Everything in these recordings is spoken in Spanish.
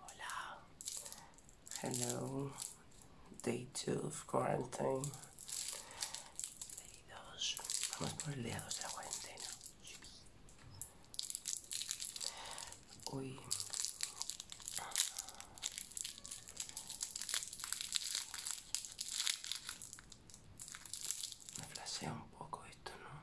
Hola. Hello. Day 2 of quarantine. Day 2. Vamos por el día 2 de la cuarentena. Uy. me flasea un poco esto, ¿no?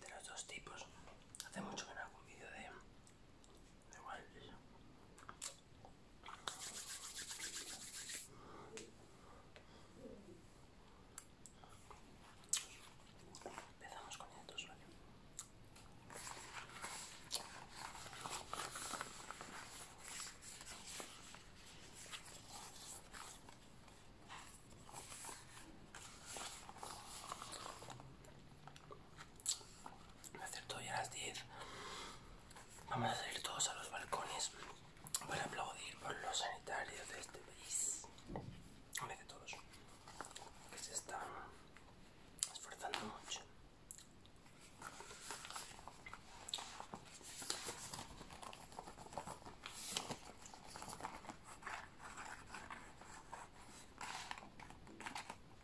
De los dos tipos, hace mucho que no hago un vídeo de de igual, ella empezamos con el tu sueño. Me acerto ya a las 10. Vamos a salir todos a los balcones para aplaudir por los sanitarios de este país. Hombre, de todos que se están esforzando mucho.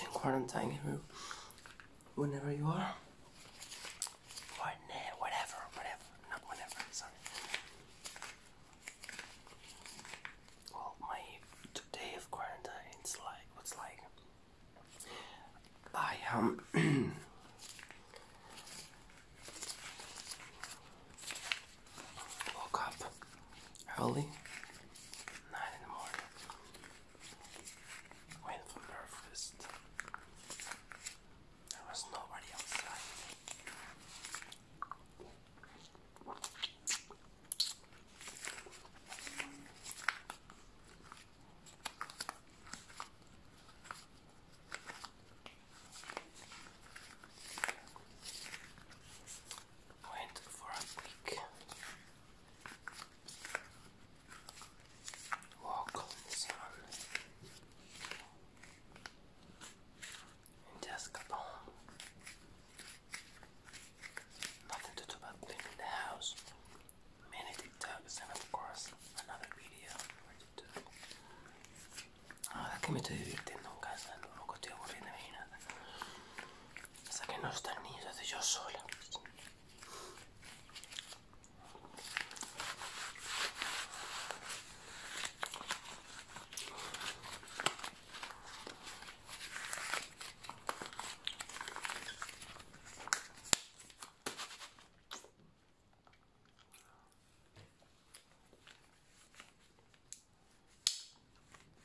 you quarantine here whenever you are. Or whatever, whatever, not whenever, sorry. Well, my today of quarantine it's like what's like I am. Um, Woke up early, nine in the morning. Went for breakfast. There was nobody outside went for a quick walk on the sun just got home. Nothing to do but cleaning the house, many TikToks, and of course another video Ahora que me estoy divirtiendo en casa, tampoco estoy aburriendo ni nada. Hasta que no están niños, estoy yo sola.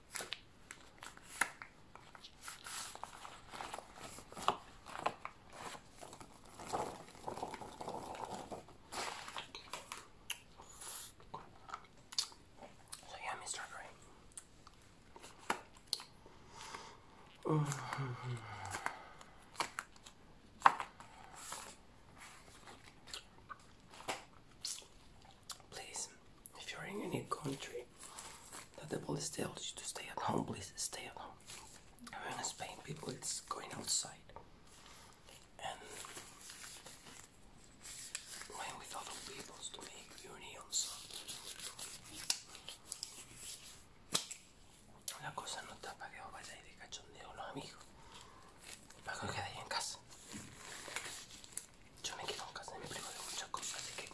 So yeah, Mr. Gray. Please if you're in any country that the police tells you to stay at home, please stay at home. I Spain, people it's going outside, and when we thought of to make unions, la cosa no está para que os vayáis de cachondeo, los amigos, para que os en casa. Yo me quedo en casa de mi primo de muchas cosas, así que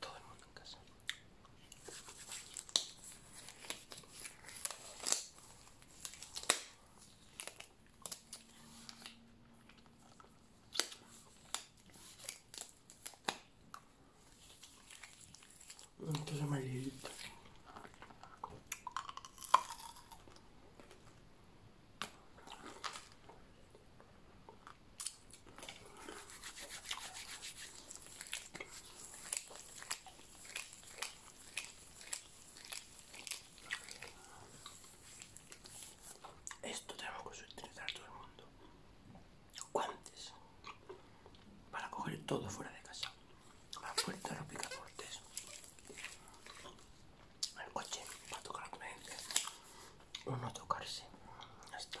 todo el mundo en casa. Esto tenemos que utilizar todo el mundo. Guantes. Para coger todo fuera de casa. La puerta, los picaportes el coche para tocar con eh, no tocarse esto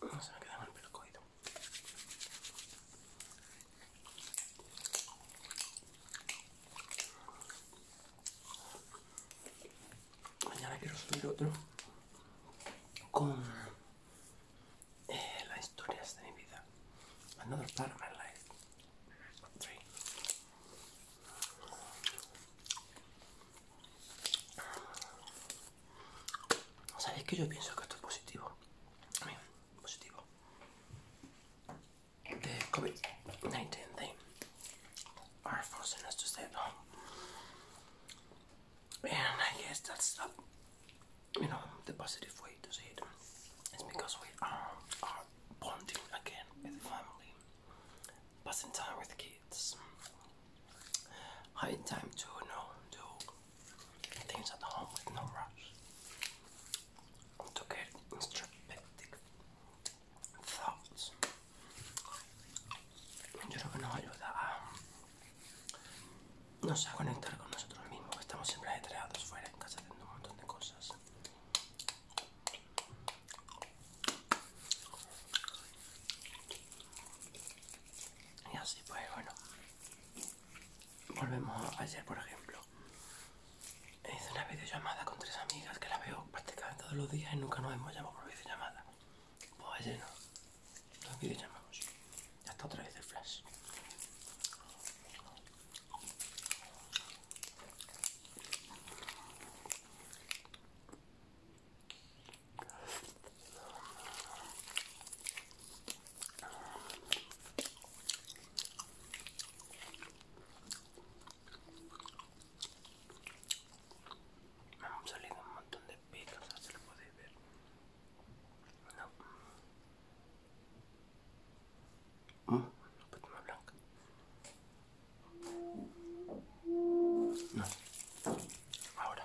No se me queda mal el pelo coído. Mañana quiero subir otro con eh, las historias de mi vida. Another part of my life. Three. ¿Sabéis que yo pienso que esto es positivo? Bien, The COVID-19 forcing us to stay home. And I guess that's you know, the positive way to see It's because we are, are bonding again with family, passing time with kids kids. Having time to you do things at home with no rush. To get introspective thoughts. Yo creo que nos ayuda a, no a conectar con nosotros mismos. Estamos siempre ajetreados fuera en casa haciendo un de cosas. y así pues bueno volvemos a ayer por ejemplo hice una videollamada con tres amigas que la veo prácticamente todos los días y nunca nos hemos llamado por videollamada pues ayer no nos videollamamos ya está otra vez el flash me han salido un montón de picas, no se lo podéis ver. No. Mm, ah. una blanca. No. Ahora.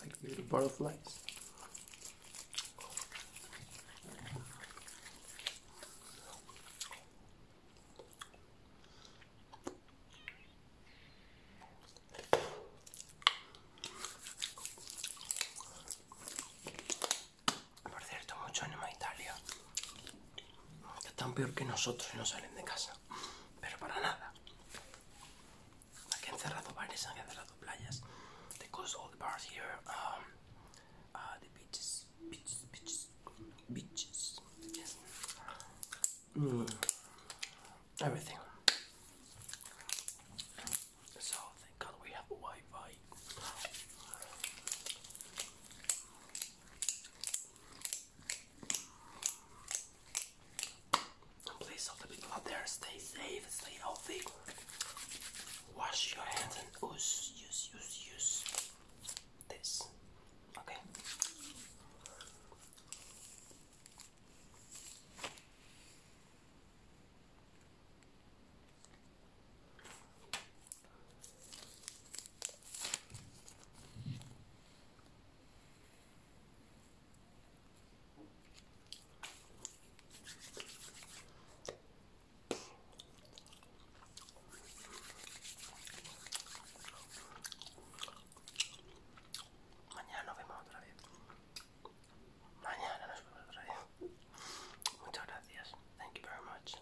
like little butterflies. Por cierto, mucho en Italia están peor que nosotros y no salen de casa pero para nada. Aquí han cerrado bares, han cerrado playas. They all the bars here. Um, uh, the beaches, beaches, beaches, beaches. Mm. Everything. So thank we have And please, all the people out there, stay safe, stay healthy. Wash your hands and use, use, use, use this. Okay. Mañana nos vemos otra vez. Mañana nos vemos otra vez. Muchas gracias. Thank you very much.